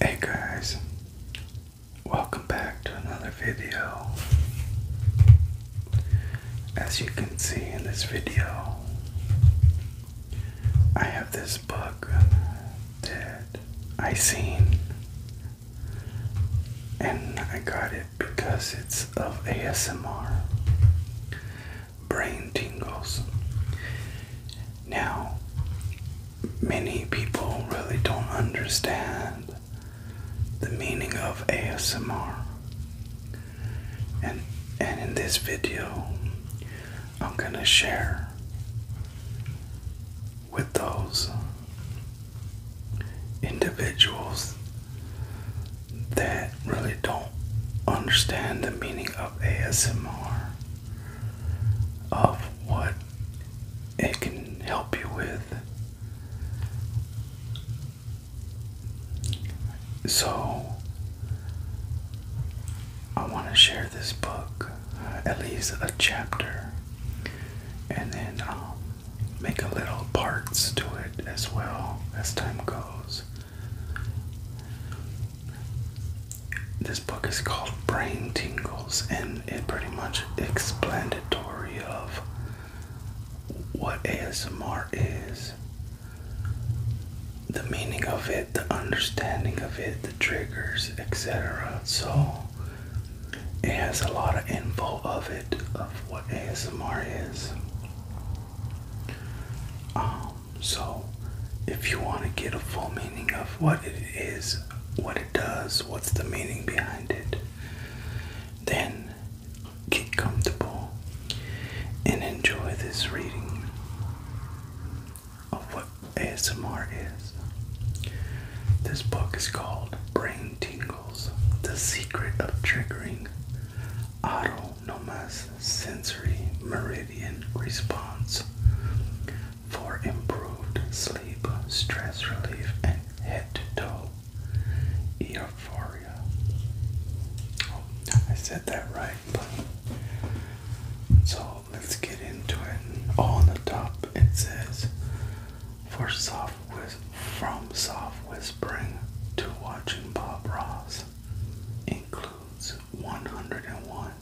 Hey guys, welcome back to another video. As you can see in this video, I have this book that I seen and I got it because it's of ASMR brain tingles. Now, many people really don't understand the meaning of ASMR. And and in this video, I'm going to share with those individuals that really don't understand the meaning of ASMR of what it can help you with. So, I want to share this book, uh, at least a chapter, and then I'll um, make a little parts to it as well as time goes. This book is called Brain Tingles, and it pretty much explanatory of what ASMR is, the meaning of it, the understanding of it, the triggers, etc. So it has a lot of info of it of what ASMR is. Um, so, if you want to get a full meaning of what it is, what it does, what's the meaning behind it, then get comfortable and enjoy this reading of what ASMR is. This book is called Brain Tingles The Secret of Triggering Autonomous sensory meridian response for improved sleep, stress relief, and head to toe euphoria. Oh, I said that right. so let's get into it. on the top it says for soft from soft whispering to watching Bob Ross includes 101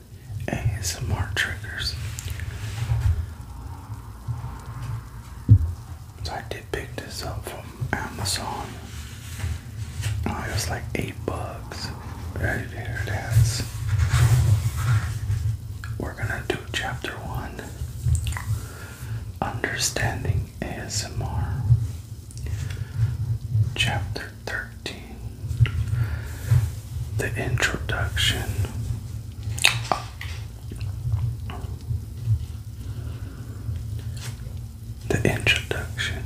ASMR triggers. So I did pick this up from Amazon. Oh, it was like eight bucks. Right there it is. We're gonna do chapter one. Understanding ASMR. Chapter 13 The Introduction. The Introduction.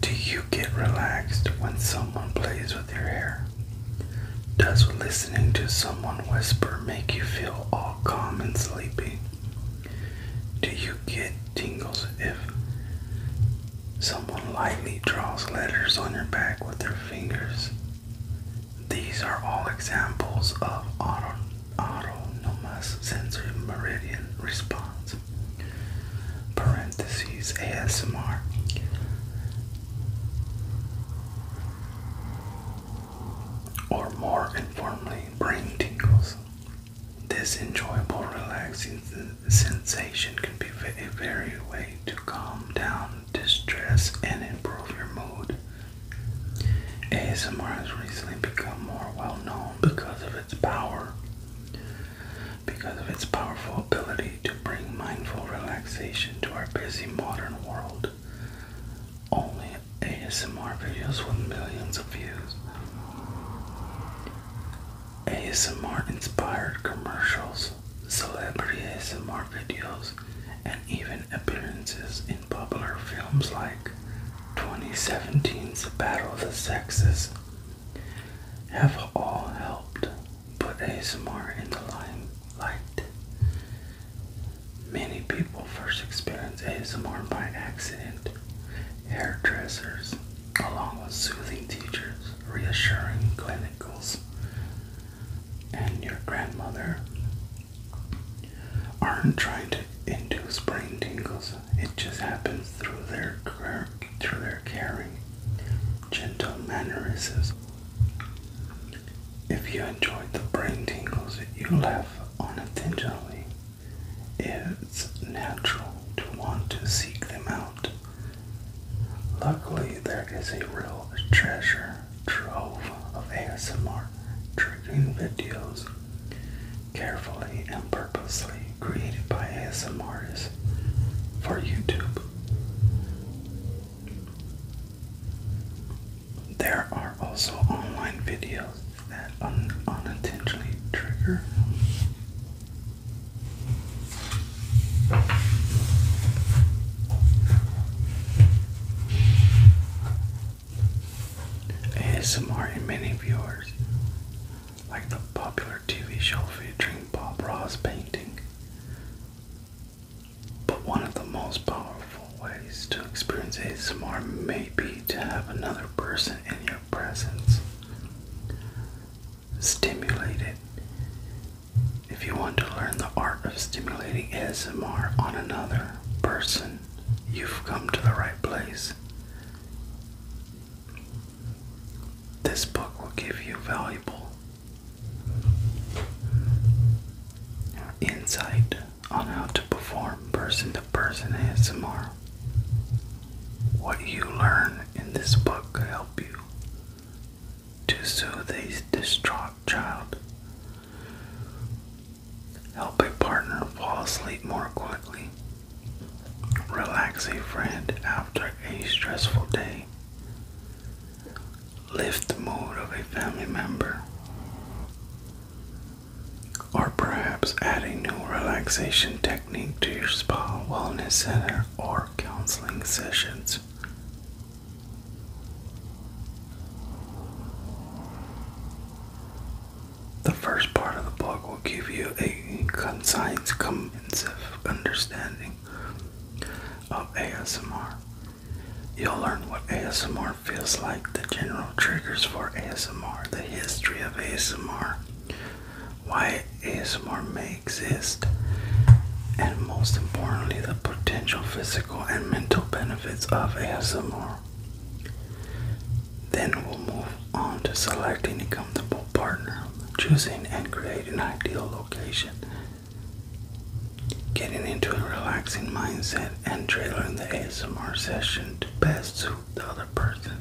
Do you get relaxed when someone plays with your hair? Does listening to someone whisper make you feel all calm and sleepy? Do you get tingles if someone lightly draws letters on your back with their fingers? These are all examples of auto, autonomous sensory meridian response. ASMR. Or more informally, brain tingles. This enjoyable, relaxing sensation can be a very way to calm down distress and improve your mood. ASMR has recently become more well known because of its power, because of its powerful ability to bring mindful relaxation to our busy modern world. Only ASMR videos with millions of views ASMR inspired commercials, celebrity ASMR videos, and even appearances in popular films like 2017's Battle of the Sexes have all helped put ASMR in the limelight. Many people first experience ASMR by accident. Hairdressers, along with soothing teachers, reassuring clinicals, and your grandmother aren't trying to induce brain tingles. It just happens through their through their caring, gentle mannerisms. If you enjoyed the brain tingles, you laugh unintentionally it's natural to want to seek them out. Luckily, there is a real treasure trove of ASMR triggering videos carefully and purposely created by ASMRs for YouTube. There are also online videos that unintentionally trigger ASMR and many viewers like the popular TV show featuring Bob Ross painting. But one of the most powerful ways to experience ASMR may be to have another person in your presence. Stimulated. If you want to learn the art of stimulating ASMR on another person, you've come to the right place. This book will give you valuable insight on how to perform person to person ASMR what you learn in this book could help you to soothe a distraught child, help a partner fall asleep more quickly, relax a friend after a stressful day, lift the mood of a family member, or perhaps add a new relaxation technique to your spa, wellness center, or counseling sessions. The first part of the book will give you a concise, comprehensive understanding of ASMR. You'll learn what ASMR feels like, the general triggers for ASMR, the history of ASMR, why ASMR may exist, and most importantly, the potential physical and mental benefits of ASMR. Then we'll move on to selecting a comfortable partner, choosing and creating an ideal location, getting into a relaxing mindset, and tailoring the ASMR session to best suit the other person.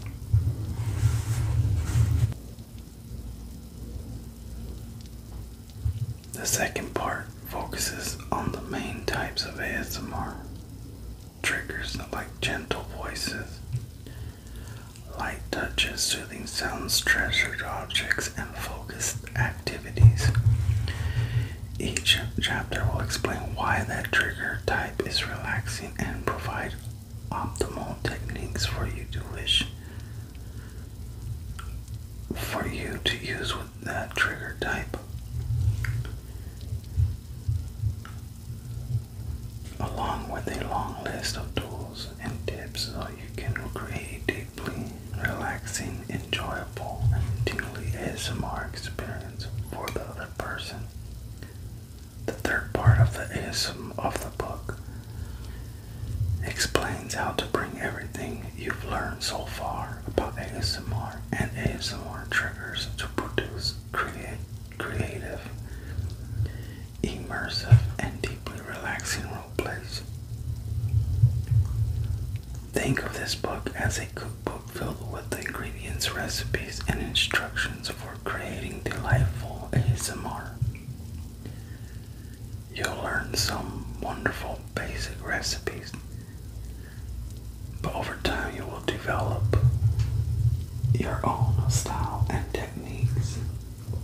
The second part focuses on the main types of ASMR triggers like gentle voices, light touches, soothing sounds, treasured objects, and focused activities. Each chapter will explain why that trigger type is relaxing and provide optimal techniques for you to wish for you to use with that trigger type. Along with a long list of tools and tips so you can create deeply relaxing, enjoyable, and tingly ASMR experience for the other person. The third part of the ASM of the book explains how to bring everything you've learned so far about ASMR and ASMR triggers to produce create, creative, immersive, and deeply relaxing role plays. Think of this book as a cookbook filled with ingredients, recipes, and instructions for creating delightful ASMR. You'll learn some wonderful basic recipes, but over time you will develop your own style and techniques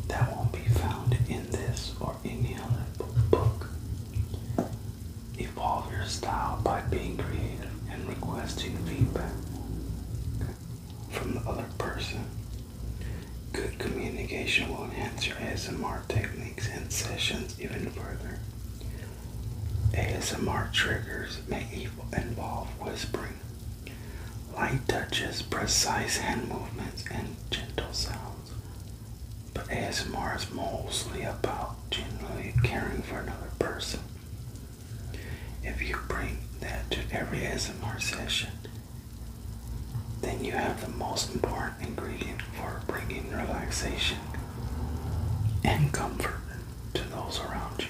that won't be found in this or any other book. Evolve your style by being creative and requesting feedback from the other person. Good communication will enhance your ASMR techniques and sessions even further. ASMR triggers may involve whispering, light touches, precise hand movements, and gentle sounds. But ASMR is mostly about genuinely caring for another person. If you bring that to every ASMR session, then you have the most important ingredient for bringing relaxation and comfort to those around you.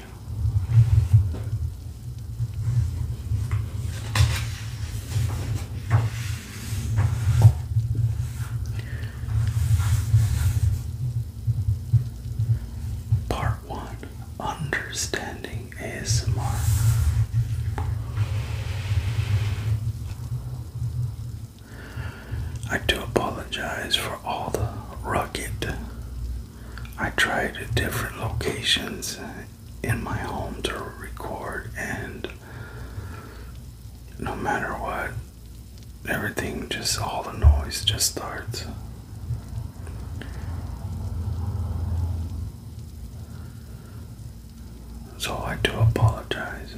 Part 1 Understanding ASMR. I do apologize for all the rugged. I tried different locations in my home to record, and no matter what, everything just all the noise just starts. So I do apologize.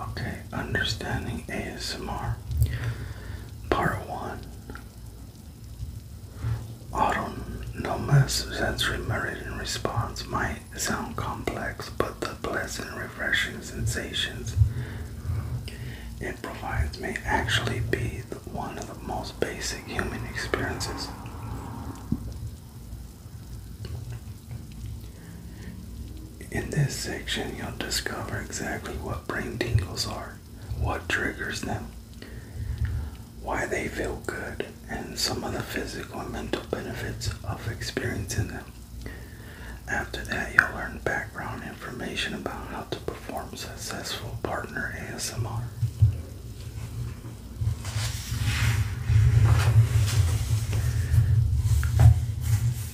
Okay, understanding ASMR. Part 1 No Autonomous sensory meridian response might sound complex, but the pleasant, refreshing sensations it provides may actually be one of the most basic human experiences. In this section, you'll discover exactly what brain tingles are, what triggers them, why they feel good, and some of the physical and mental benefits of experiencing them. After that, you'll learn background information about how to perform successful partner ASMR.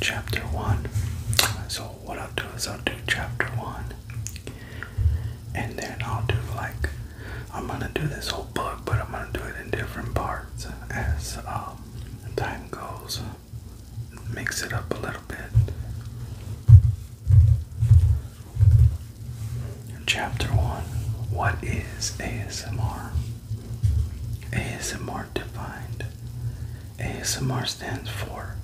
Chapter 1. So, what I'll do is I'll do chapter 1, and then I'll do like, I'm gonna do this whole book, but I'm gonna do it in different parts as um, time goes mix it up a little bit. Chapter 1 What is ASMR? ASMR defined. ASMR stands for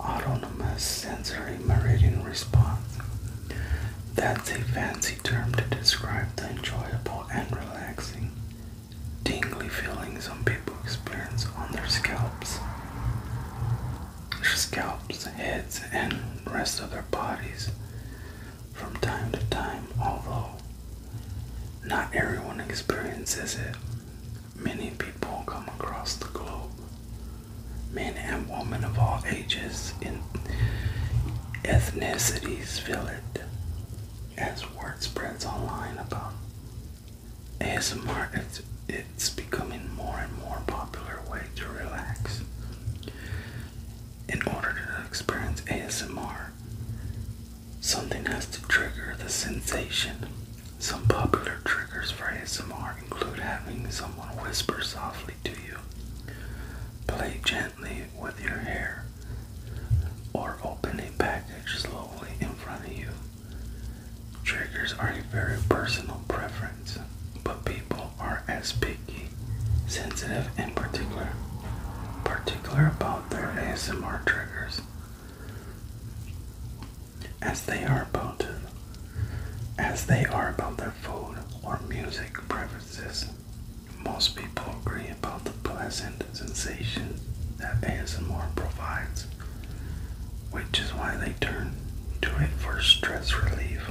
Autonomous Sensory Meridian Response. That's a fancy term to describe the enjoyable and relaxing, tingly feelings some people experience on their scalps. Their scalps, heads, and rest of their bodies from time to time, although not everyone experiences it. Many people come across the globe, men and women of all ages and ethnicities feel it as word spreads online about ASMR it's, it's becoming more and more popular way to relax. In order to experience ASMR, something has to trigger the sensation. Some popular triggers for ASMR include having someone whisper softly to you, play gently with your hair, or open a package slowly in front of you. Triggers are a very personal preference, but people are as picky, sensitive, and particular, particular about their ASMR triggers as they are about as they are about their food or music preferences. Most people agree about the pleasant sensation that ASMR provides which is why they turn to it for stress relief.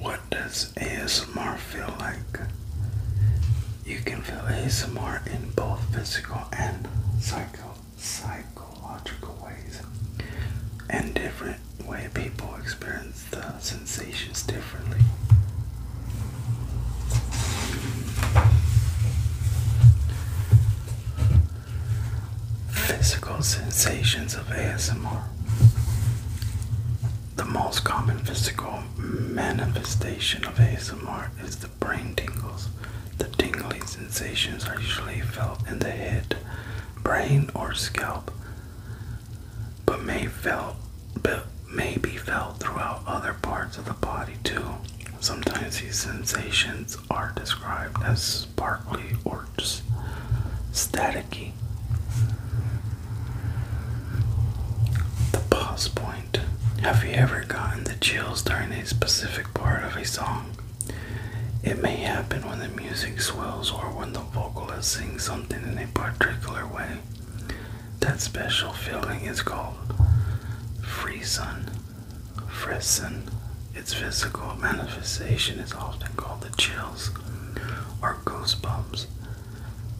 What does ASMR feel like? You can feel ASMR in both physical and psycho psychological ways and different ways people experience the sensations differently. Physical sensations of ASMR. The most common physical manifestation of ASMR is the brain tingles. The tingling sensations are usually felt in the head, brain, or scalp but may felt but may be felt throughout other parts of the body too. Sometimes these sensations are described as sparkly or just staticky. The pause point. Have you ever gotten the chills during a specific part of a song? It may happen when the music swells or when the vocalist sings something in a particular way. That special feeling is called freezon, frisson. Its physical manifestation is often called the chills or goosebumps.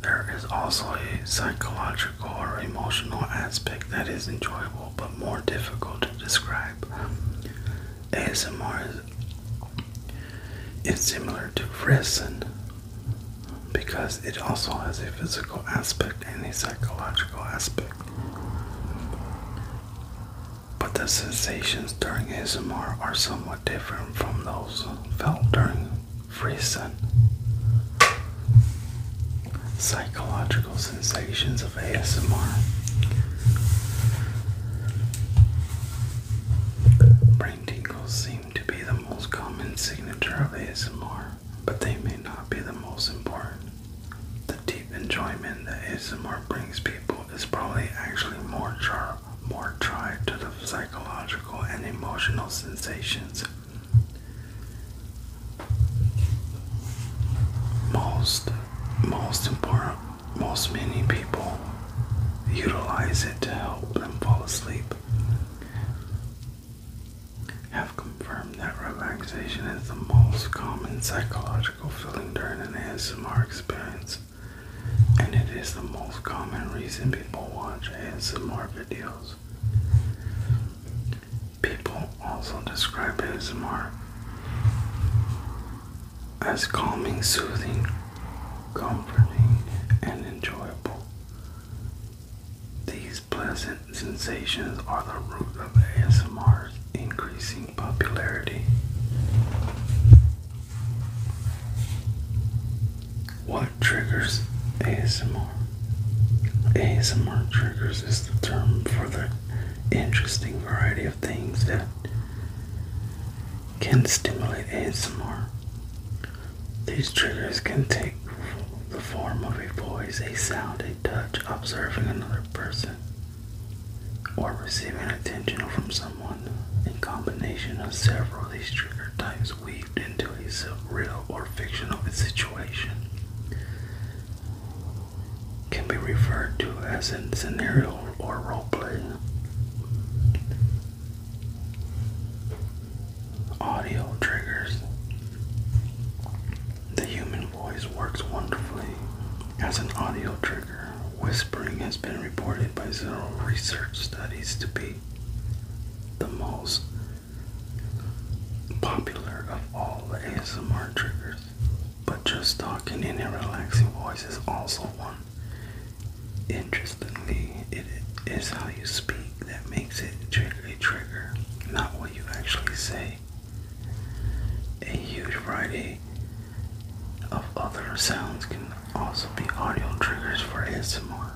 There is also a psychological or emotional aspect that is enjoyable but more difficult to describe. ASMR is similar to frisson, because it also has a physical aspect and a psychological aspect. But the sensations during ASMR are somewhat different from those felt during free FreeSun. Psychological sensations of ASMR brain tingles, to be the most common signature of ASMR, but they may not be the most important. The deep enjoyment that ASMR brings people is probably actually more, more tied to the psychological and emotional sensations. Most, most important, most many people utilize it to help them fall asleep have confirmed that relaxation is the most common psychological feeling during an ASMR experience, and it is the most common reason people watch ASMR videos. People also describe ASMR as calming, soothing, comforting, and enjoyable. These pleasant sensations are the root of ASMR's increasing popularity. What triggers ASMR? ASMR triggers is the term for the interesting variety of things that can stimulate ASMR. These triggers can take the form of a voice, a sound, a touch, observing another person, or receiving attention from someone. In combination of several of these trigger types weaved into a surreal or fictional situation can be referred to as a scenario or role play. Audio triggers. The human voice works wonderfully as an audio trigger. Whispering has been reported by several research studies to be the most popular of all ASMR triggers. But just talking in a relaxing voice is also one. Interestingly, it is how you speak that makes it trigger a trigger, not what you actually say. A huge variety of other sounds can also be audio triggers for ASMR.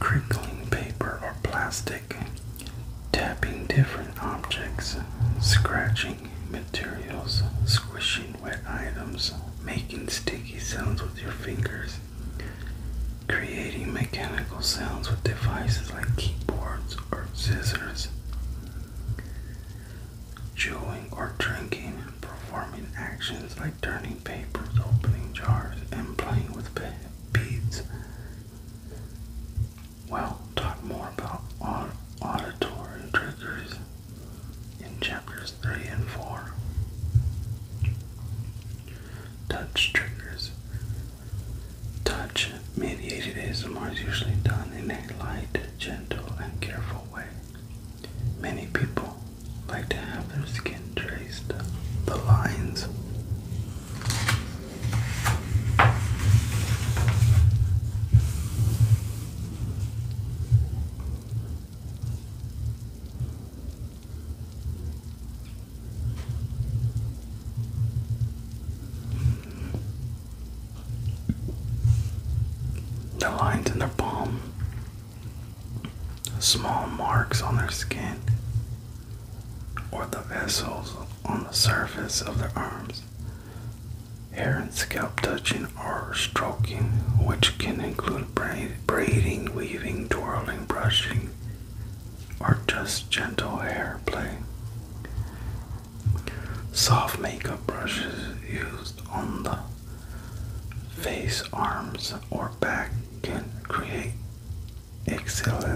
Crinkling paper or plastic, tapping different objects, scratching materials, squishing wet items, making sticky sounds with your fingers, creating mechanical sounds with devices like keyboards or scissors, chewing or drinking, performing actions like turning papers, opening jars, and playing with beads well talk more about aud auditory triggers in chapters 3 and 4. Touch triggers. Touch mediated ASMR is usually done in a light, gentle, and careful way. Many people like to have their skin traced the lines. The lines in their palm, small marks on their skin, or the vessels on the surface of their arms Hair and scalp touching or stroking, which can include braiding, weaving, twirling, brushing, or just gentle hair play. Soft makeup brushes used on the face, arms, or back can create exhilarating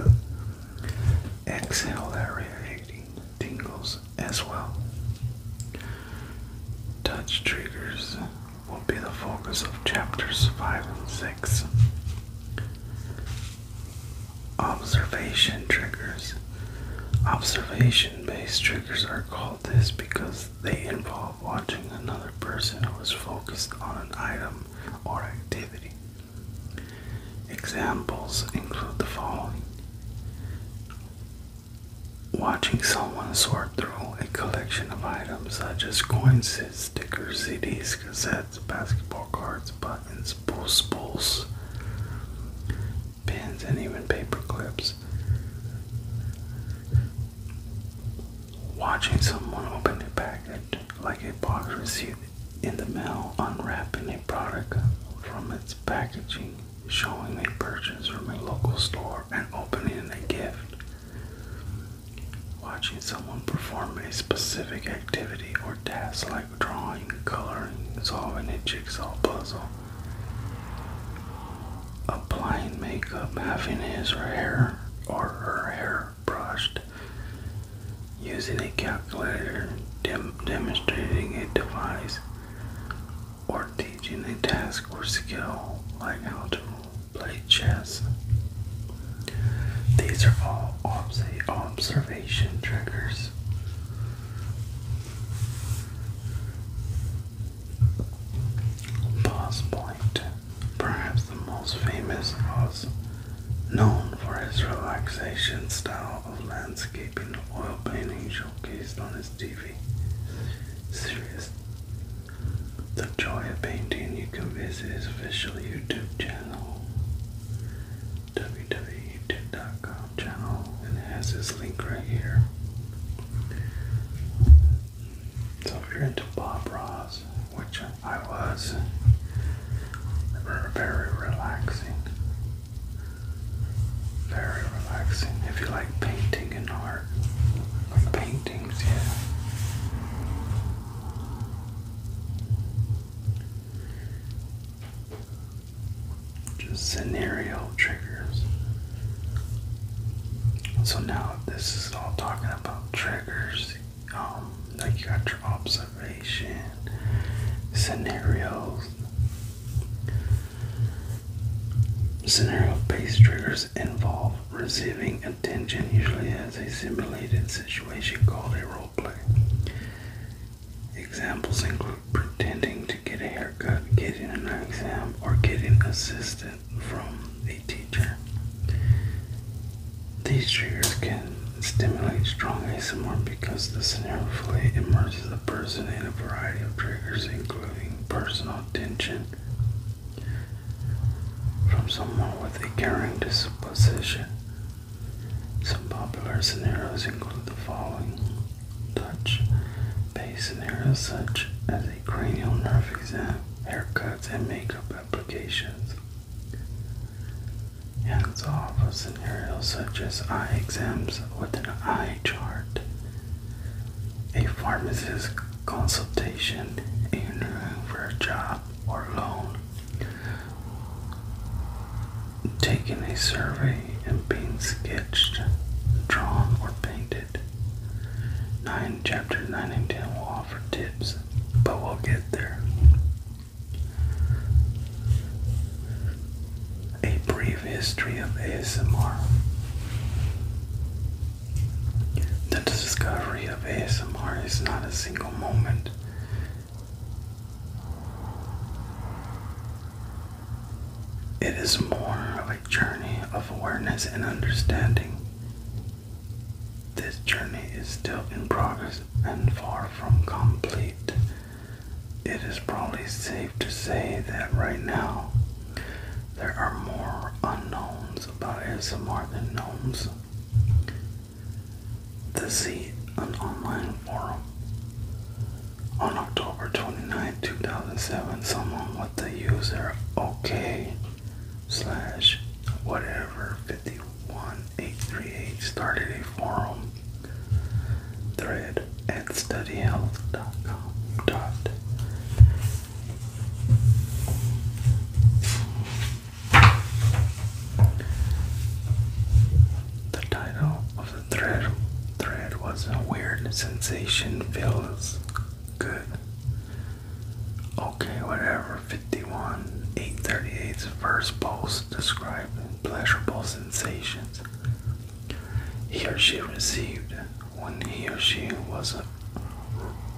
tingles as well. Touch triggers will be the focus of chapters 5 and 6. Observation triggers. Observation based triggers are called this because they involve watching another person who is focused on an item or activity. Examples include the following Watching someone sort through a collection of items such as coins, stickers, CDs, cassettes, basketball cards, buttons, spools, pins, and even paper clips. Watching someone open a package like a box received in the mail, unwrapping a product from its packaging showing a purchase from a local store and opening a gift. Watching someone perform a specific activity or task like drawing, coloring, solving a jigsaw puzzle, applying makeup, having his or hair or her hair brushed, using a calculator, demonstrating a device, or teaching a task or skill like how to play chess. These are all obs observation triggers. Boss perhaps the most famous, was known for his relaxation style of landscaping oil painting showcased on his Serious Serious. The Joy of Painting. You can visit his official YouTube channel, www.youtube.com channel, and it has this link right here. So if you're into Bob Ross, which I was, very relaxing. Very relaxing. If you like painting and art, like paintings, yeah. Just scenario triggers. So now this is all talking about triggers. Um, like you got your observation, scenarios, Scenario based triggers involve receiving attention, usually as a simulated situation called a role play. Examples include pretending to get a haircut, getting an exam, or getting assistance from a teacher. These triggers can stimulate strong ASMR because the scenario fully immerses harms the person in a variety of triggers, including personal tension from someone with a caring disposition. Some popular scenarios include the following touch based scenarios, such as a cranial nerve exam, haircuts, and makeup applications. Hands off of scenarios such as eye exams with an eye chart a pharmacist consultation, interviewing for a job or loan, taking a survey and being sketched, drawn, or painted. 9 chapters 9 and 10 will offer tips, but we'll get there a brief history of ASMR. The discovery of ASMR is not a single moment. It is more of a journey of awareness and understanding. This journey is still in progress and far from complete. It is probably safe to say that right now there are more unknowns about ASMR than gnomes. This is an online forum. On October 29, 2007, someone with the user OK slash whatever 51838 started a forum thread at studyhealth.com. Dot. The title of the thread thread was a weird sensation feels good. Okay, whatever. 51 838's first post described pleasurable sensations he or she received when he or she was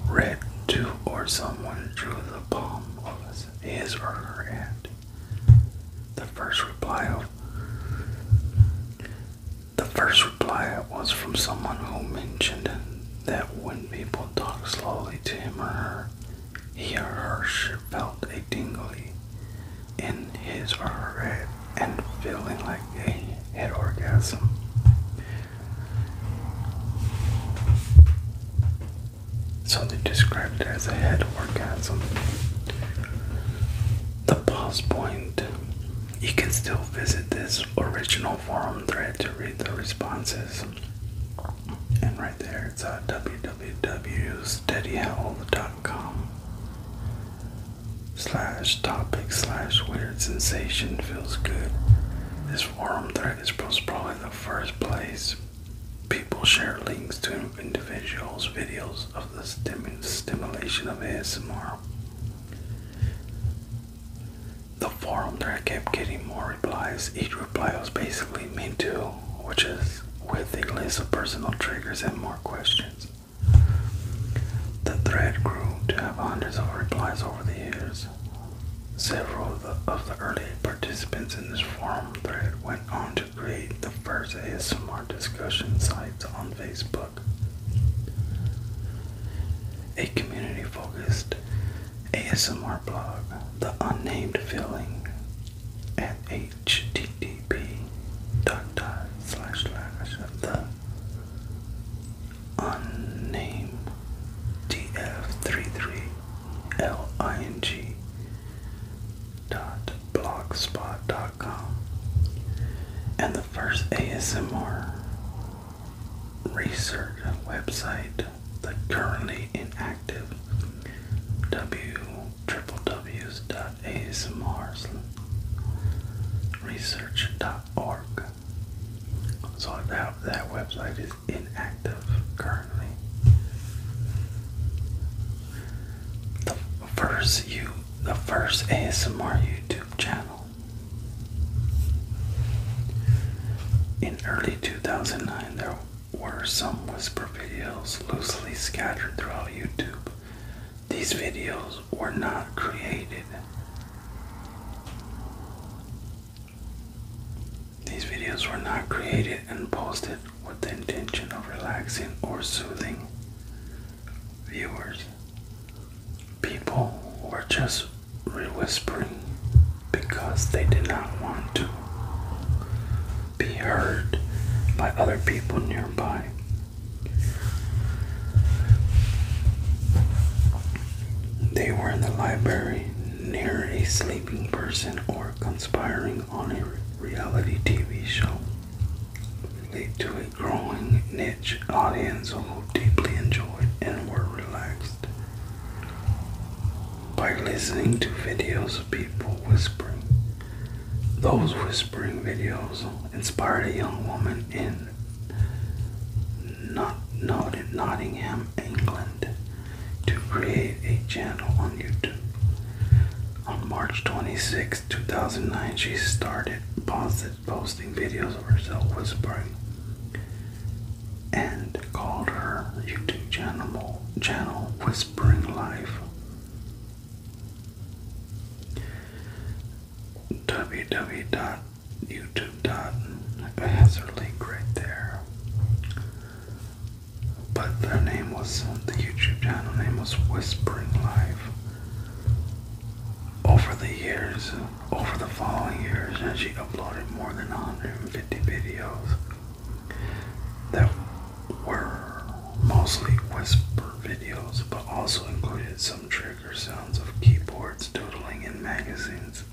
read to or someone drew the palm of his or her hand. The first reply of the first reply was from someone who mentioned that when people talk slowly to him or her, he or her felt a tingly in his or and feeling like a head orgasm. So they described it as a head orgasm. The pause point. You can still visit this original forum thread to read the responses. And right there it's uh, www.steadyhowl.com slash topic slash weird sensation feels good. This forum thread is probably the first place people share links to individuals' videos of the stimulation of ASMR. The forum thread kept getting more replies. Each reply was basically me too, which is with a list of personal triggers and more questions. The thread grew to have hundreds of replies over the years. Several of the, early participants in this forum thread went on to create the first ASMR discussion sites on Facebook. A community focused ASMR blog, The Unnamed Feeling, at HDT. B dot dot slash slash the unnamed df33ling dot blogspot.com and the first ASMR research website that currently inactive www.dot at asmrsresearch.org. So that, that website is inactive currently. The first you the first ASMR YouTube channel. In early 2009 there were some whisper videos loosely scattered throughout YouTube these videos were not created. These videos were not created and posted with the intention of relaxing or soothing viewers. People were just whispering because they did not want to be heard by other people nearby. They were in the library near a sleeping person or conspiring on a reality TV show. Lead to a growing niche audience who deeply enjoyed and were relaxed. By listening to videos of people whispering, those whispering videos inspired a young woman in not Nottingham, England, to create a channel on YouTube. On March 26, 2009, she started posting videos of herself whispering and called her YouTube channel, channel Whispering Life www.youtube.com a her link right there. But her name was, the YouTube channel name was Whispering Life. Over the years, over the following years, and she uploaded more than 150 videos that were mostly whisper videos, but also included some true sounds of keyboards doodling in magazines.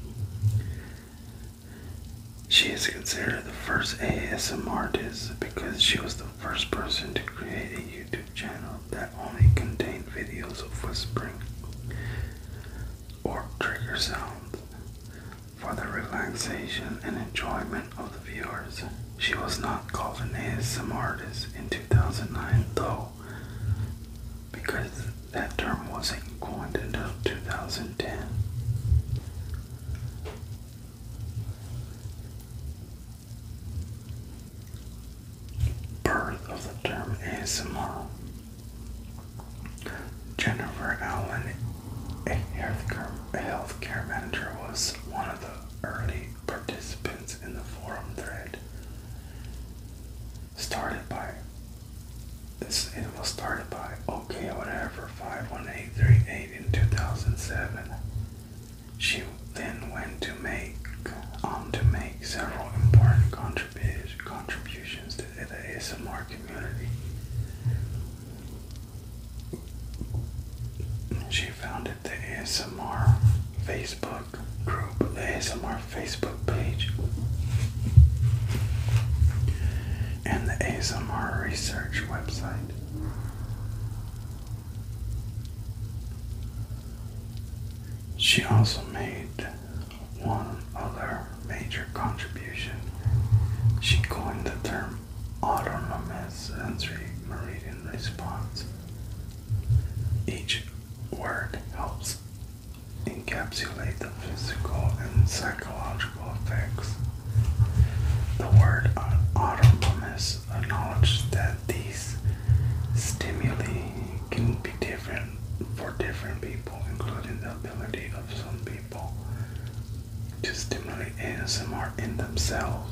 She is considered the first ASMR artist because she was the first person to create a YouTube channel that only contained videos of whispering or trigger sounds for the relaxation and enjoyment of the viewers. She was not called an ASM artist in 2009 though, because that term wasn't coined until 2010. Birth of the term ASMR. Jennifer Allen, a healthcare manager, was one of the early participants in the forum thread started by this it was started by okay whatever 51838 in 2007 she then went to make on to make several important contribu contributions to the ASMR community she founded the ASMR Facebook group, the ASMR Facebook page, and the ASMR research website. She also made one other major contribution. She coined the term autonomous sensory meridian response each word helps encapsulate the physical and psychological effects. The word autonomous acknowledges that these stimuli can be different for different people, including the ability of some people to stimulate ASMR in themselves.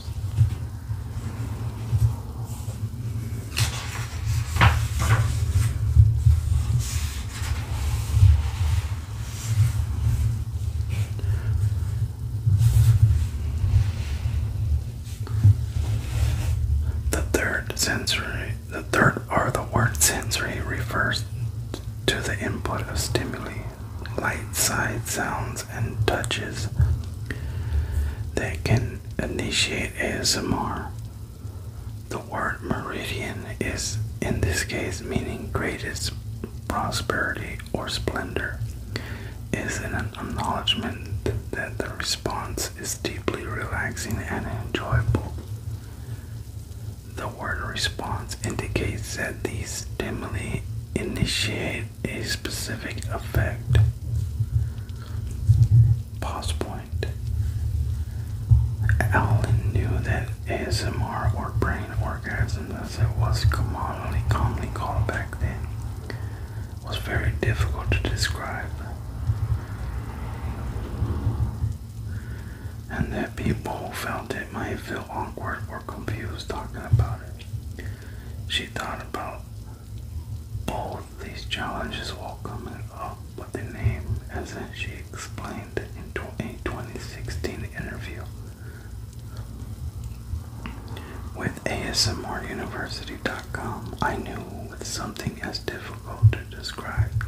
The third sensory, the third or the word sensory refers to the input of stimuli, light, sight, sounds, and touches that can initiate ASMR. The word meridian is, in this case, meaning greatest prosperity or splendor, is an acknowledgement that the response is deeply relaxing and enjoyable. The word response indicates that these stimuli initiate a specific effect. Pause point. Allen knew that ASMR or brain orgasm, as it was commonly called back then, was very difficult to describe. And that people felt it might feel awkward or confused talking about it. She thought about both these challenges will come up with the name, as she explained in a 2016 interview with ASMRUniversity.com. I knew with something as difficult to describe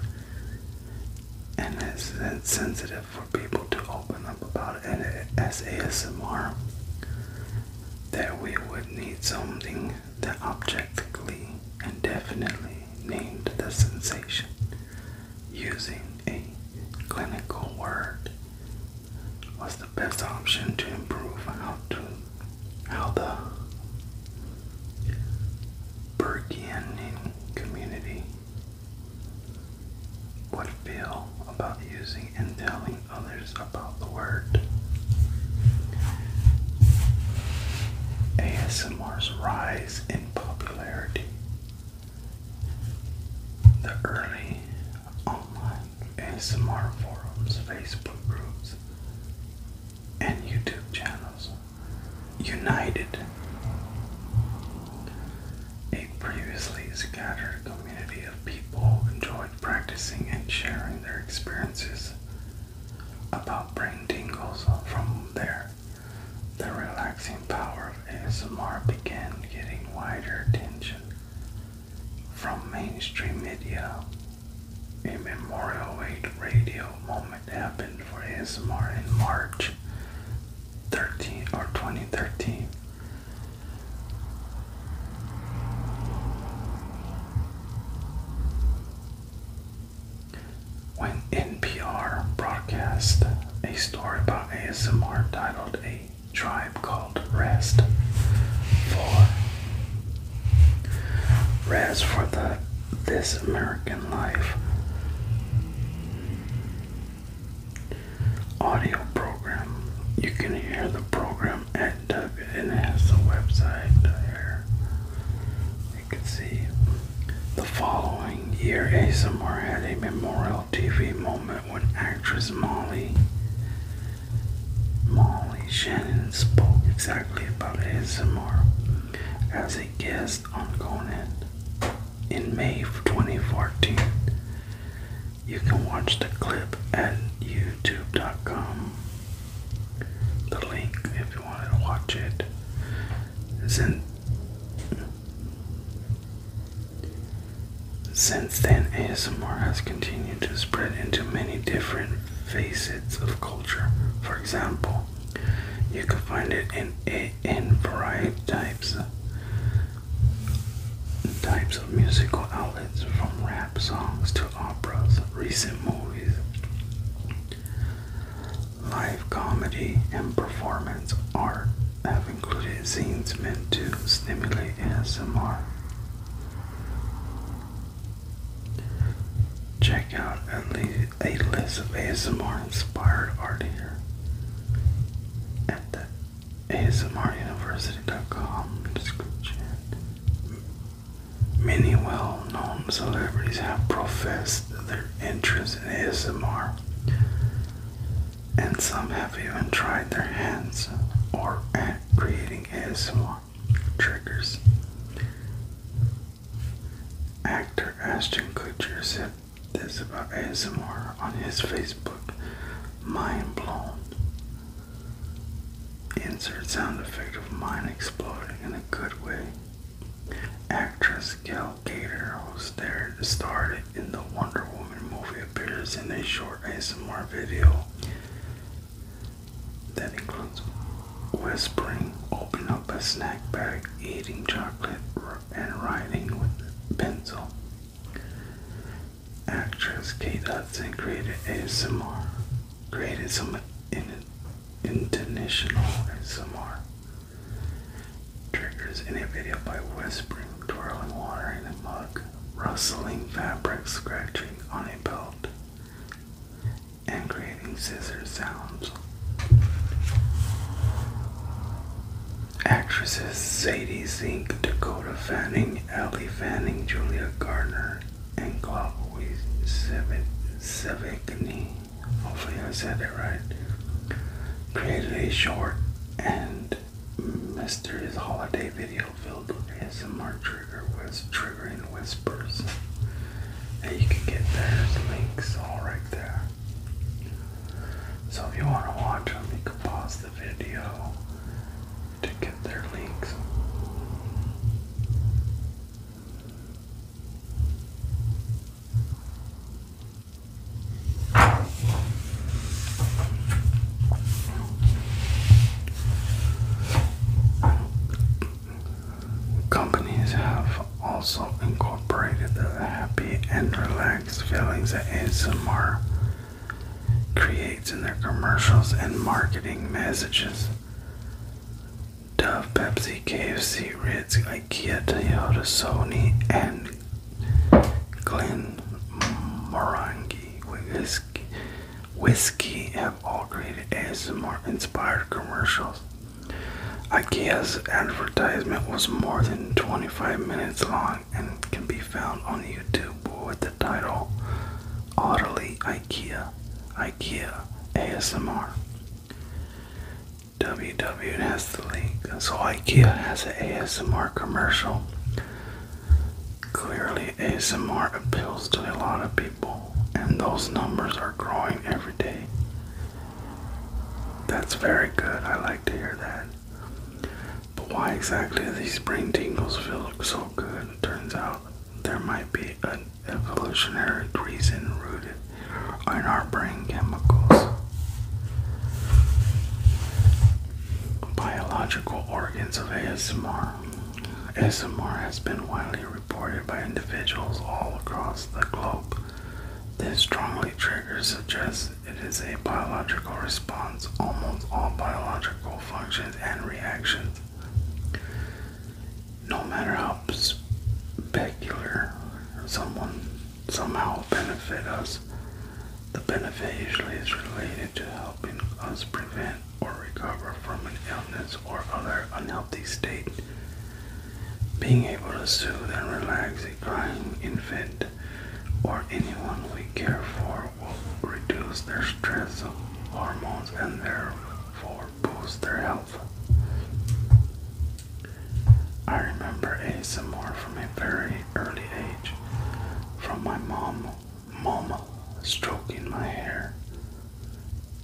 and as sensitive for people to open up about it as ASMR that we would need something that objectively and definitely named the sensation using a clinical word was the best option to improve how to how the Burgeoning community would feel about using and telling others about the word. ASMR's rise in popularity. The early online ASMR forums, Facebook groups, and YouTube channels united a previously scattered community of people who practicing and sharing their experiences about brain tingles from there. The relaxing power of ASMR began getting wider attention from mainstream media. A Memorial Weight radio moment happened for ASMR in March 13 or 2013. When NPR broadcast a story about ASMR titled A Tribe Called Rest for Rest for the This American Life audio program, you can hear the program um, at Duggett and uh, it website there. You can see the following year, ASMR had a memorial TV moment when actress Molly Molly Shannon spoke exactly about ASMR as a guest on Conan in May of 2014. You can watch the clip at youtube.com the link, if you wanted to watch it, since since then, ASMR has continued to spread into many different facets of culture. For example, you can find it in in variety types types of musical albums from rap songs to operas, recent movies, live comedy, and performance art have included scenes meant to stimulate ASMR. Check out at least a list of ASMR inspired art here at ASMRUniversity.com description. Many well known celebrities have professed their interest in ASMR, and some have even tried their hands or at creating ASMR triggers. Actor Ashton Kutcher said this about ASMR on his Facebook Mind blown. Insert sound effect of mine exploding in a good way. Actress Gail Gator, who starred in the Wonder Woman movie, appears in a short ASMR video that includes whispering, opening up a snack bag, eating chocolate, and writing with pencil. Actress Kate Hudson created ASMR created some in, intentional triggers in a video by whispering, twirling water in a mug, rustling fabric, scratching on a belt, and creating scissor sounds. Actresses Sadie Zink, Dakota Fanning, Ellie Fanning, Julia Garner and Globowy Sevigny, hopefully I said that right, created short and mysterious holiday video filled with mark trigger was triggering whispers. And you can get those links all right there. So if you want to watch them, you can pause the video Companies have also incorporated the happy and relaxed feelings that ASMR creates in their commercials and marketing messages. Dove, Pepsi, KFC, Ritz, IKEA, Toyota, Sony, and Glen Morangi whiskey, have all created ASMR-inspired commercials. IKEA's advertisement was more than 25 minutes long and can be found on YouTube with the title Audibly IKEA, IKEA ASMR. WW has the link. So IKEA has an ASMR commercial. Clearly, ASMR appeals to a lot of people, and those numbers are growing every day. That's very good. I like to hear that. But why exactly do these brain tingles feel so good? Turns out there might be an evolutionary reason rooted in our brain chemicals. Biological organs of ASMR. ASMR has been widely reported by individuals all across the globe. This strongly triggers suggests it is a biological response. Almost all biological functions and reactions no matter how specular someone somehow benefit us, the benefit usually is related to helping us prevent or recover from an illness or other unhealthy state. Being able to soothe and relax a crying infant or anyone we care for will reduce their stress hormones and therefore boost their health. I remember more from a very early age, from my mom, mama stroking my hair,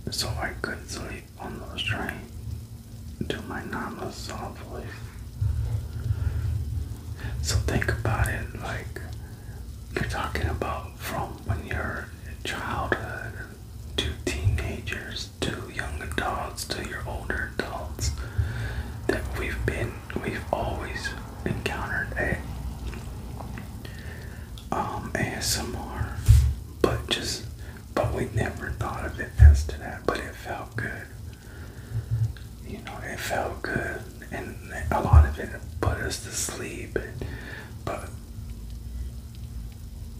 so I could sleep on those trains, to my nana's soft voice. So think about it like you're talking about from when you're childhood to teenagers to young adults to your older adults that we've been we've always encountered a um ASMR but just but we never thought of it as to that but it felt good you know it felt good and a lot of it put us to sleep but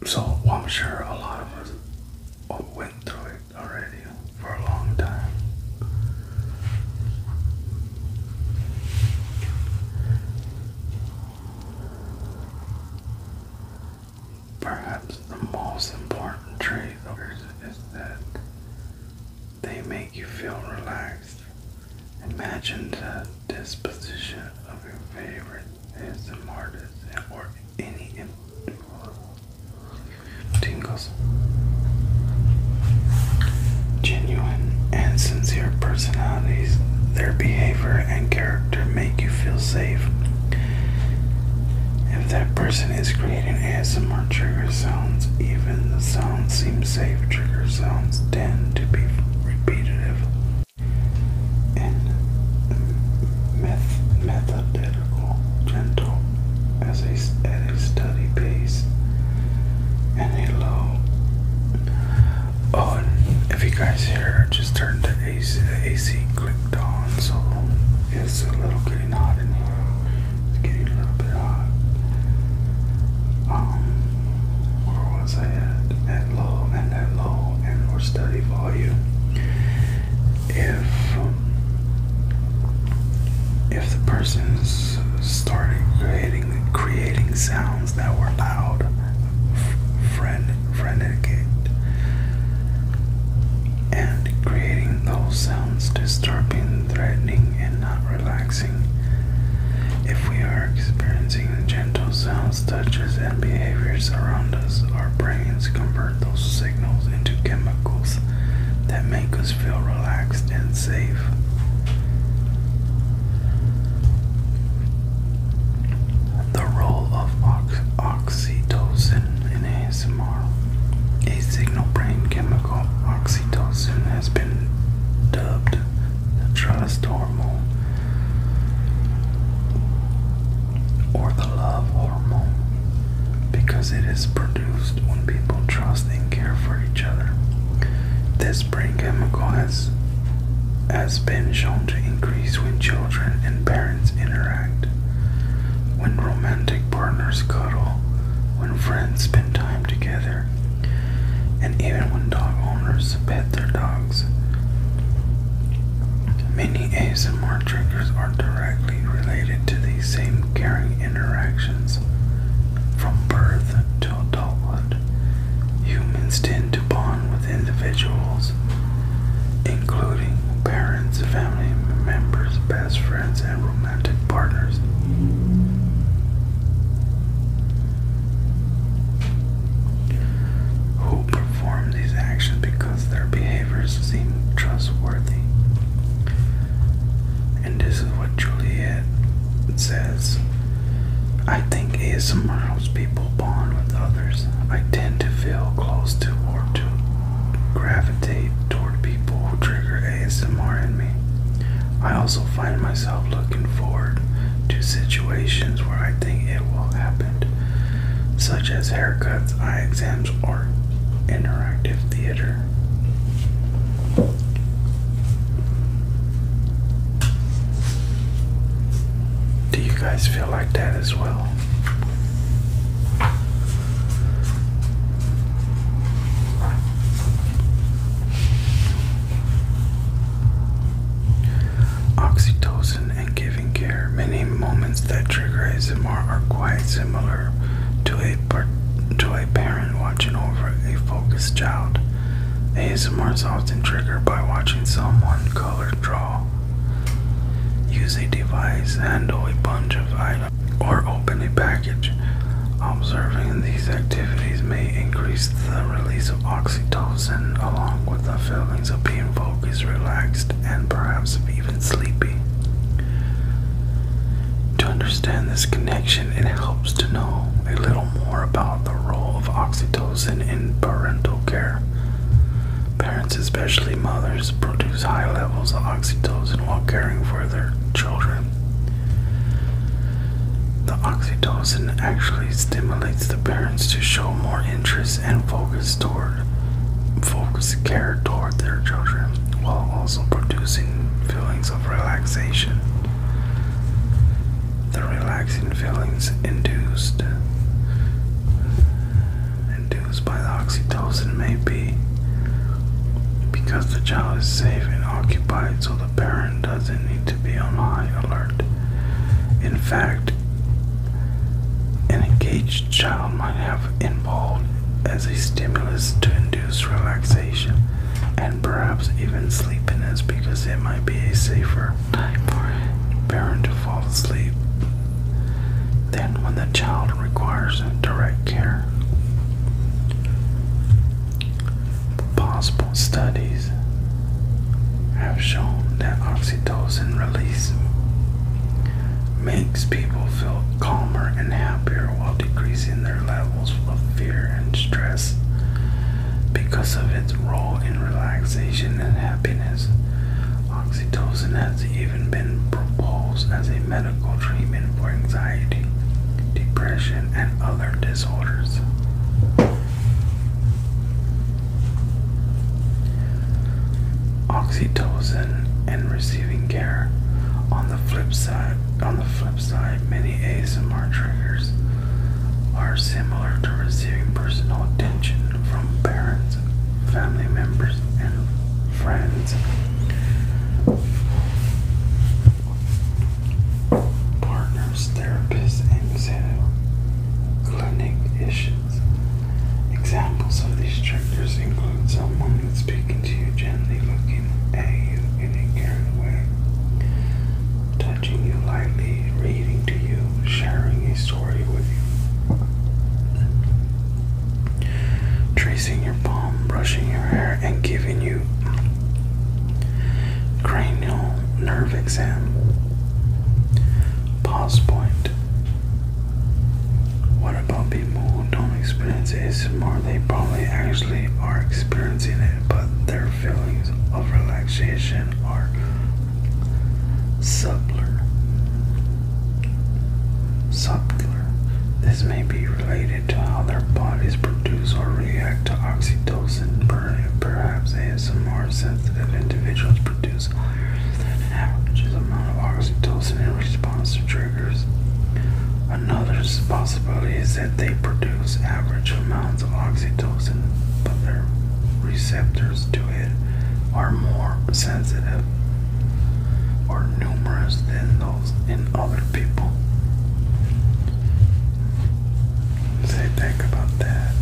so I'm sure a lot of us went through it already for a long time. Perhaps the most important trait is that they make you feel relaxed Imagine the disposition of your favorite ASM artist or any tingles. Genuine and sincere personalities, their behavior and character make you feel safe. If that person is creating ASMR trigger sounds, even the sounds seem safe. Trigger sounds tend to be repetitive and meth methodical, gentle as a, at a steady pace and a low. Oh, and if you guys hear, just turn the AC, the AC clicked on, so it's a little getting hot in here. It's getting a little bit hot. Um, where was I at? At low and at low and or study volume. If um, if the person started creating creating sounds that were loud, frenetic, and creating those sounds disturbing, threatening, and not relaxing. If we are experiencing gentle sounds touches, and behaviors around us, our brains convert those signals into chemicals that make us feel relaxed and safe. The role of oxytocin in ASMR. A signal brain chemical, oxytocin has been dubbed the trust-hormone, or the love hormone, because it is produced when people trust and care for each other. This brain chemical has, has been shown to increase when children and parents interact, when romantic partners cuddle, when friends spend time together, and even when dog owners pet their dogs, many A's and ASMR triggers are directly related to these same caring interactions. From birth to adulthood, humans tend to bond with individuals, including parents, family members, best friends, and romantic partners who perform these actions because their behaviors seem trustworthy. And this is what Juliet says. I think ASMR helps people bond with others. I tend to feel close to or to gravitate toward people who trigger ASMR in me. I also find myself looking forward to situations where I think it will happen, such as haircuts, eye exams, or interactive theater. Do you guys feel like that as well? Oxytocin and giving care. Many moments that trigger ASMR are quite similar to a, to a parent watching over a focused child. ASMR is often triggered by watching someone color draw, use a device, handle a bunch of items, or open a package. Observing these activities may increase the release of oxytocin along with the feelings of being focused, relaxed, and perhaps even sleepy. To understand this connection, it helps to know a little more about the role of oxytocin in parental care. Parents, especially mothers, produce high levels of oxytocin while caring for their children. The oxytocin actually stimulates the parents to show more interest and focus toward focus care toward their children while also producing feelings of relaxation. The relaxing feelings induced induced by the oxytocin may be because the child is safe and occupied so the parent doesn't need to be on high alert. In fact, an engaged child might have involved as a stimulus to induce relaxation and perhaps even sleepiness because it might be a safer time for a parent to fall asleep than when the child requires direct care. Pause studies have shown that oxytocin release makes people feel calmer and happier while decreasing their levels of fear and stress because of its role in relaxation and happiness. Oxytocin has even been proposed as a medical treatment for anxiety, depression, and other disorders. Oxytocin and receiving care. On the flip side, on the flip side, many ASMR triggers are similar to receiving personal attention from parents, family members, and friends. Partner. Therapists, and said clinic issues. Examples of these triggers include someone that's speaking to you gently, looking at you in a caring way, touching you lightly, reading to you, sharing a story with you, tracing your palm, brushing your hair, and giving you cranial nerve exam. Pause point. What about people who don't experience ASMR? They probably actually are experiencing it, but their feelings of relaxation are subtler. Subtler. This may be related to how their bodies produce or react to oxytocin or perhaps ASMR sensitive individuals produce higher than an average amount of oxytocin in response to triggers. Another possibility is that they produce average amounts of oxytocin, but their receptors to it are more sensitive or numerous than those in other people. Say, think about that.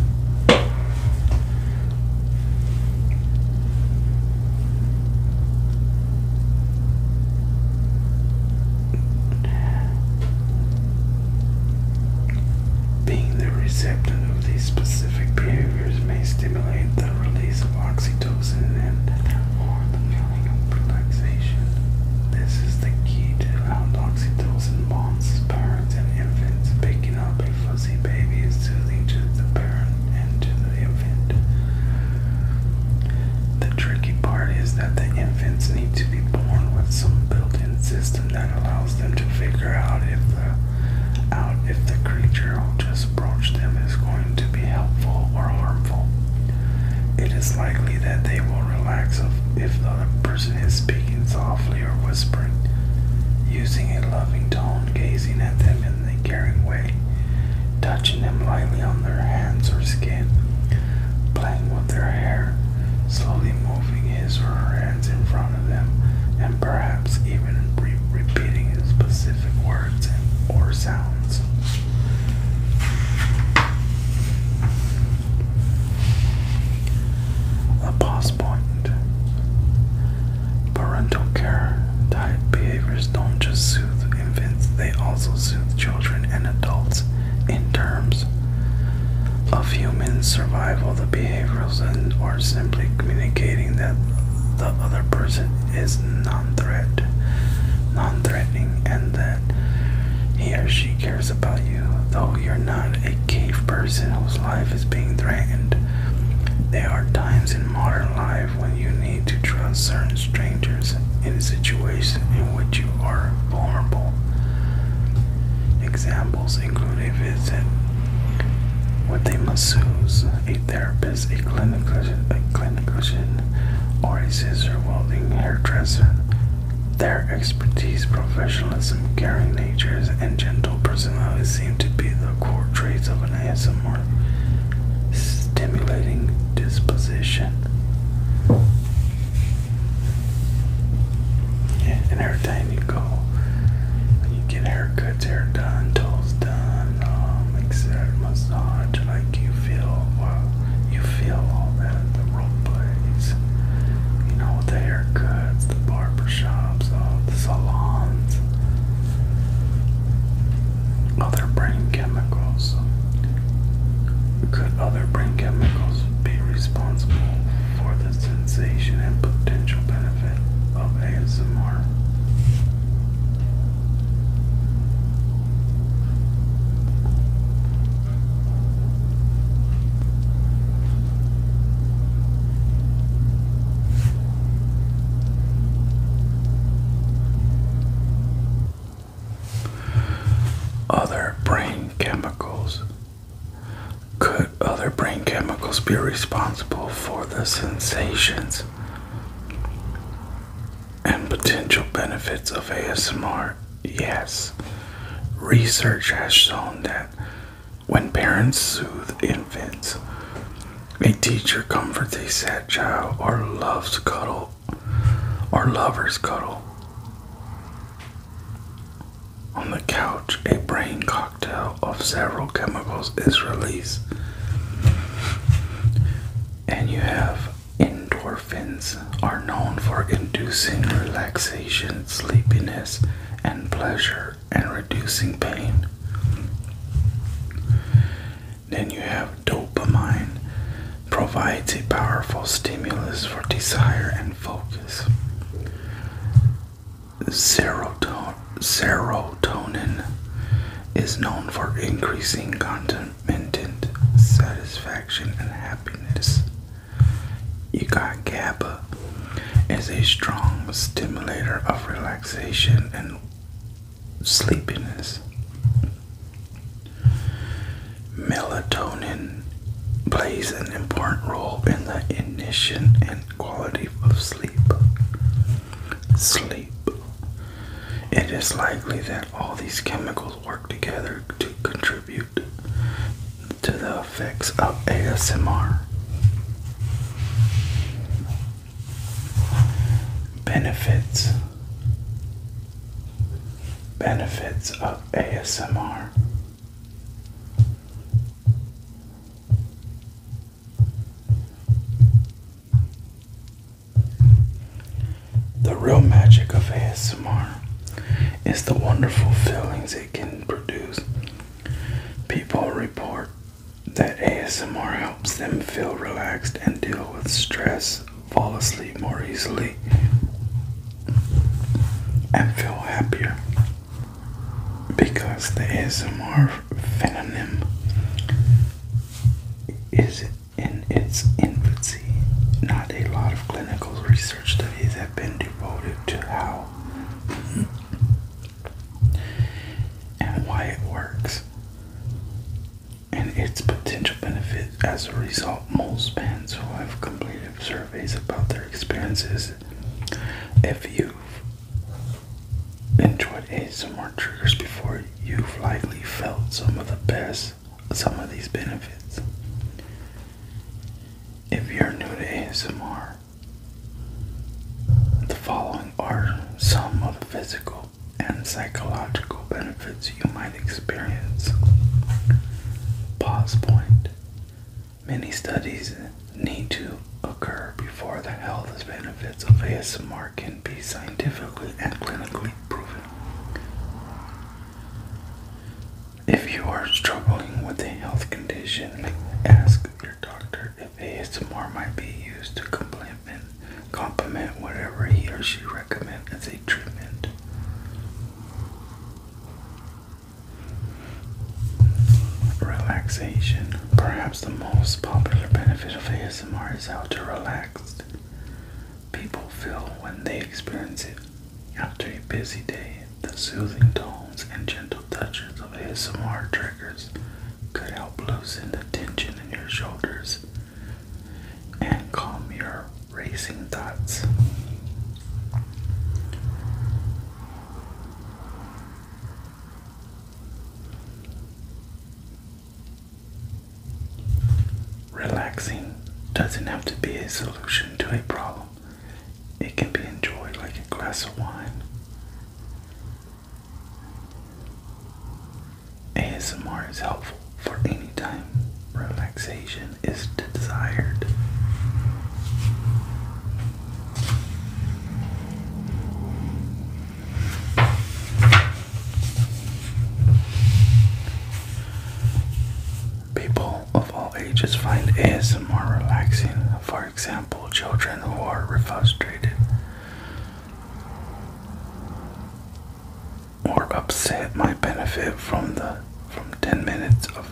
Being the receptor of these specific behaviors may stimulate the release of oxytocin and or the of relaxation. This is the key to how oxytocin bonds parents and infants, picking up big fuzzy baby soothing to the parent and to the infant. The tricky part is that the infants need to be born with some built-in system that allows them to figure out if the out if the creature who just approached them is going to be helpful or harmful. It is likely that they will relax if the person is speaking softly or whispering, using a loving tone, gazing at them in a caring way, touching them lightly on their hands or skin, playing with their hair, slowly moving his or her hands in front of them, and perhaps even repeating specific words or sounds. A pause point. Parental care type behaviors don't just soothe infants, they also soothe children and adults in terms of human survival. The behaviors are simply communicating that the other person is non threat non threatening and that he or she cares about you though you're not a cave person whose life is being threatened, there are times in modern life when you need to trust certain strangers in a situation in which you are vulnerable. Examples include a visit with a masseuse, a therapist, a clinician, or a hairdresser expertise, professionalism, caring natures, and gentle personality seem to be the core traits of an ASMR stimulating disposition. Yeah, and every time you go, you get haircuts, hair done, toes done, um, etc. Massage, like you feel, you feel all that the role plays you know, the haircuts, the barber shops, the salons, other brain chemicals. Could other brain chemicals be responsible for the sensation and potential benefit of ASMR? Other brain chemicals. Could other brain chemicals be responsible for the sensations and potential benefits of ASMR? Yes. Research has shown that when parents soothe infants, a teacher comforts a sad child, or loves cuddle, or lovers cuddle. On the couch, a brain cocktail of several chemicals is released, and you have endorphins are known for inducing relaxation, sleepiness, and pleasure and reducing pain. Then you have dopamine, provides a powerful stimulus for desire and focus. serotonin is known for increasing contentment, satisfaction, and happiness. You got GABA is a strong stimulator of relaxation and sleepiness. Melatonin plays an important role in the initiation and quality of sleep. Sleep. It is likely that all these chemicals work together to contribute to the effects of ASMR. Benefits. Benefits of ASMR. The real magic of ASMR is the wonderful feelings it can produce People report that ASMR helps them feel relaxed and deal with stress, fall asleep more easily, and feel happier because the ASMR phenonym is in its infancy. Not a lot of clinical research studies have been devoted to how and why it works and its potential benefit. As a result, most bands who have completed surveys about their experiences, if you've enjoyed ASMR triggers before, you've likely felt some of the best, some of these benefits. If you're new to ASMR, the following are some of the physical and psychological benefits you might experience. Pause point. Many studies need to occur before the health benefits of ASMR can be scientifically and clinically proven. If you are struggling with a health condition, ask your doctor wonder if ASMR might be used to compliment, compliment whatever he or she recommend as a treatment. Relaxation. Perhaps the most popular benefit of ASMR is how to relax people feel when they experience it after a busy day the soothing tones and gentle touches of ASMR triggers could help loosen the tension in your shoulders and calm your racing thoughts. Relaxing doesn't have to be a solution to a problem. It can be enjoyed like a glass of wine. ASMR is helpful for any time relaxation is desired. People of all ages find ASMR relaxing for example, children who are frustrated or upset might benefit from the from 10 minutes of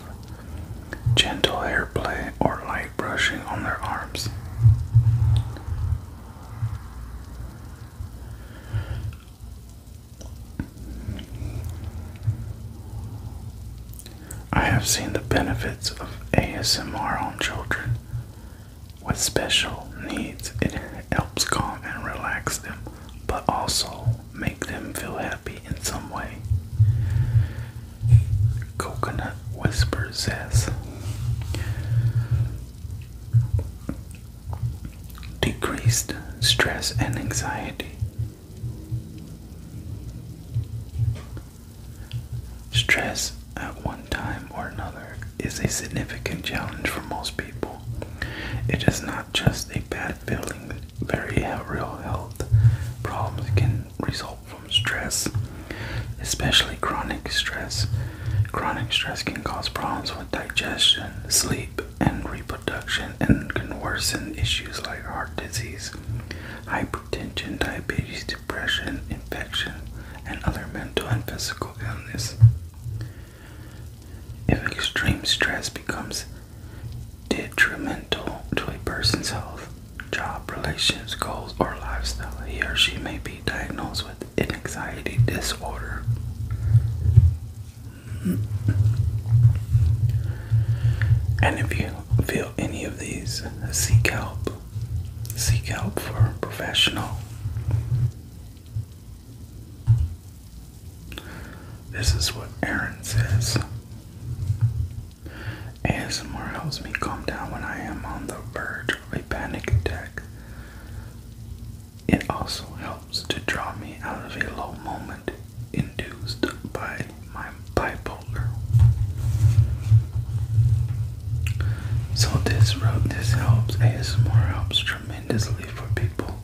gentle hair play or light brushing on their arms. I have seen the benefits of ASMR on children with special needs. It helps calm and relax them, but also make them feel happy in some way. Coconut Whisper says decreased stress and anxiety. Stress at one time or another is a significant challenge for most people. It is not just a bad feeling, very real health problems can result from stress, especially chronic stress. Chronic stress can cause problems with digestion, sleep, and reproduction, and can worsen issues like heart disease, hypertension, diabetes, depression, infection, and other mental and physical illness. If extreme stress becomes detrimental to a person's health, job, relations, goals, or lifestyle, he or she may be diagnosed with an anxiety disorder. And if you feel any of these, seek help seek help for a professional. This is what Aaron says. ASMR helps me calm down when I am on the verge of a panic attack. It also helps to draw me out of a low moment induced by like bipolar. So this road, this helps. ASMR helps tremendously for people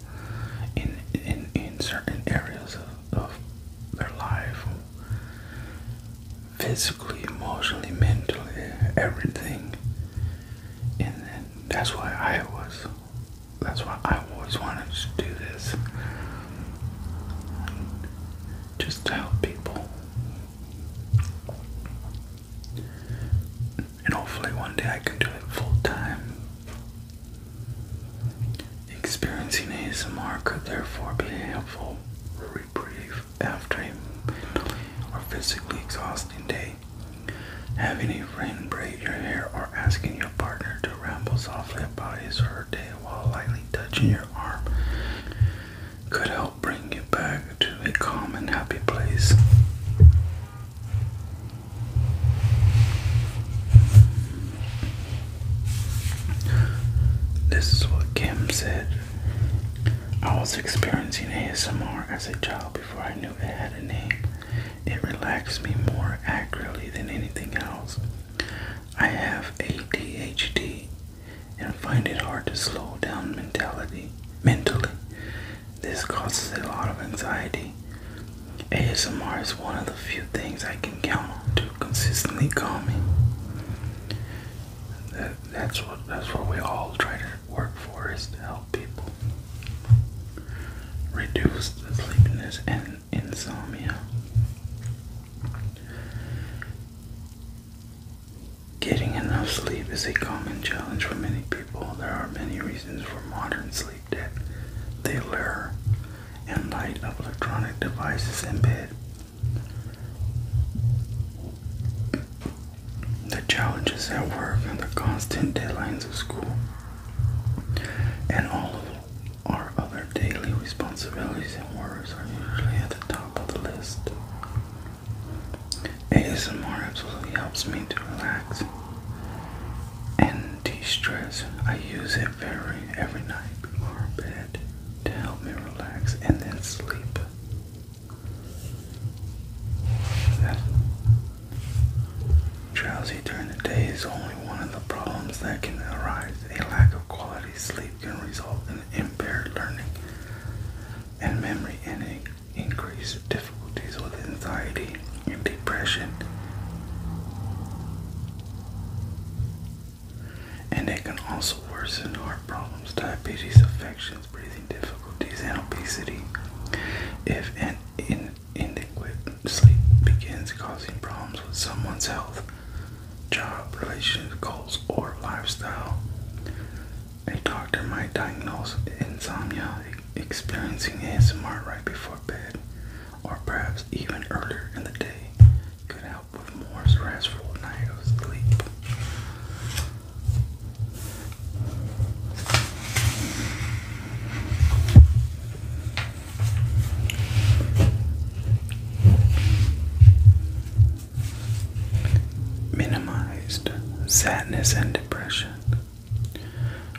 in in in certain areas of, of their life, physically, emotionally, mentally, everything. And that's why I was. That's why I always wanted to do this just to help people. And hopefully, one day I can do it full time. Experiencing ASMR could therefore be a helpful reprieve after a or physically exhausting day. Having a friend braid your hair or asking your partner to ramble softly about his or her day while lightly touching your arm could help bring you back to a calm and happy place. This is what Kim said. I was experiencing ASMR as a child before I knew it had a name. It relaxed me more accurately than anything else. I have ADHD and find it hard to slow down mentality mentally. This causes a lot of anxiety. ASMR is one of the few things I can count on to consistently calm me. that's what that's what we all try to work for is to help people reduce the sleepiness and insomnia. Getting enough sleep is a common challenge for many people. There are many reasons for modern sleep debt. They lurk in light of electronic devices in bed. The challenges at work and the constant deadlines of school and all of our other daily responsibilities and worries are usually at the top top the list. ASMR absolutely helps me to relax and de-stress. I use it very every night before bed to help me relax and then sleep. drowsy during the day is only one of the problems that can arise. A lack of quality sleep can result in and impaired learning and memory and an increase difficulties with anxiety and depression. And it can also worsen heart problems, diabetes, affections, breathing difficulties, and obesity if an inadequate sleep begins causing problems with someone's health job, relationship goals, or lifestyle. A doctor might diagnose insomnia experiencing ASMR right before bed, or perhaps even earlier in the day, could help with more restful night of sleep minimized sadness and depression.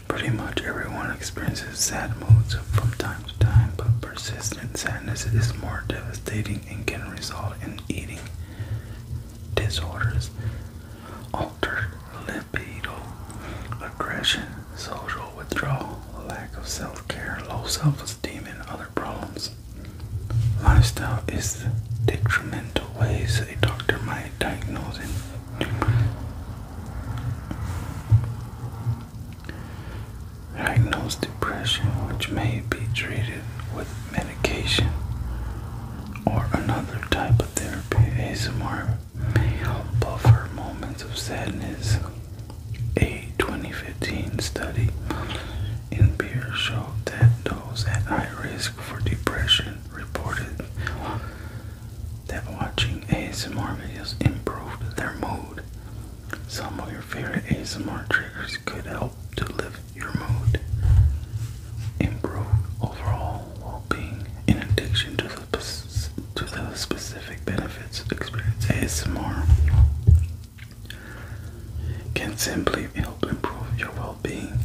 Pretty much everyone experiences sad moods from time to time, but persistent sadness is more devastating and can result in eating disorders, altered libido, aggression, social withdrawal, lack of self care, low self esteem, and other problems. Lifestyle is the detrimental ways a doctor might diagnose and diagnose depression, which may be treated with medication or another type of therapy. ASMR may help buffer moments of sadness. A 2015 study in beer showed that those at high risk for depression reported that watching ASMR videos improved their mood. Some of your favorite ASMR triggers could help to lift your mood, improve overall well-being, in addition to the to the specific benefits experienced ASMR can simply help improve your well being.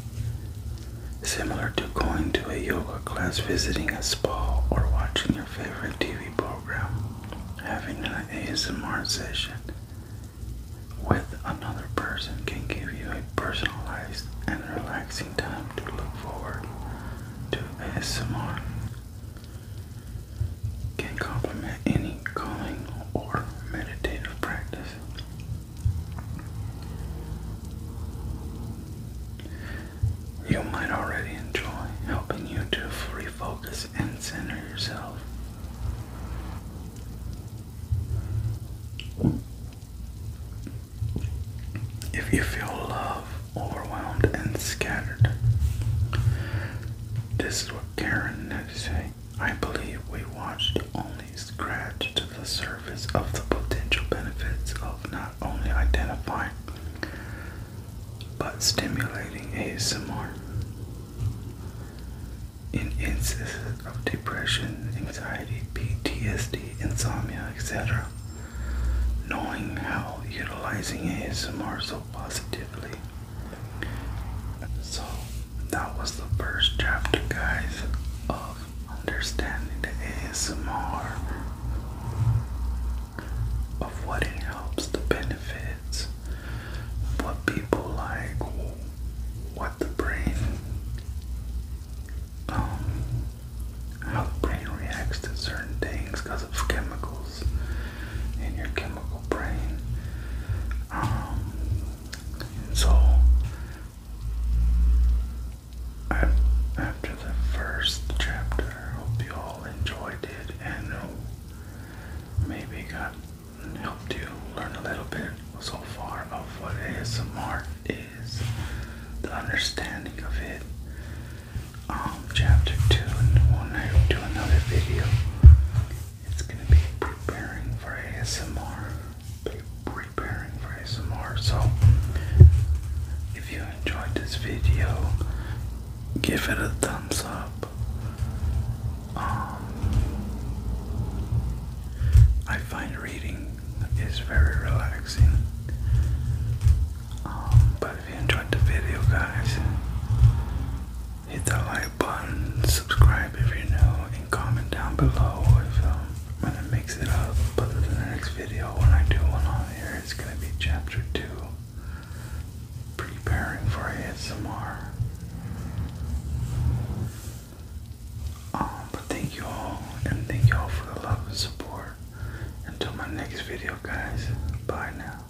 Similar to going to a yoga class, visiting a spa, or watching your favorite TV program, having an ASMR session with another person can give you a personalized and relaxing time to look forward to ASMR can complement any calling or meditative practice. You might already enjoy helping you to refocus and center yourself. If you feel love, overwhelmed, and scattered, this is what Karen had to say. I believe we watched only scratch to the surface of the potential benefits of not only identifying but stimulating ASMR. In instances of depression, anxiety, PTSD, insomnia, etc., knowing how utilizing ASMR so positively so that was the first chapter, guys, of understanding the ASMR of what it helps, the benefits, what people like, what the brain, um, how the brain reacts to certain things because of chemicals in your chemical brain. Um, so after the first chapter, hope you all enjoyed it and maybe got helped you learn a little bit so far of what ASMR is, the understanding of it. Um, chapter two, and when will do another video, it's gonna be preparing for ASMR. Be preparing for ASMR. So, if you enjoyed this video, give it a thumbs up. Um, I find reading is very relaxing. Um, but if you enjoyed the video, guys, Hit that like button, subscribe if you're new, and comment down below if um, I'm gonna mix it up. But in the next video, when I do one on here, it's gonna be chapter two, preparing for ASMR. Um, but thank you all, and thank you all for the love and support. Until my next video, guys. Bye now.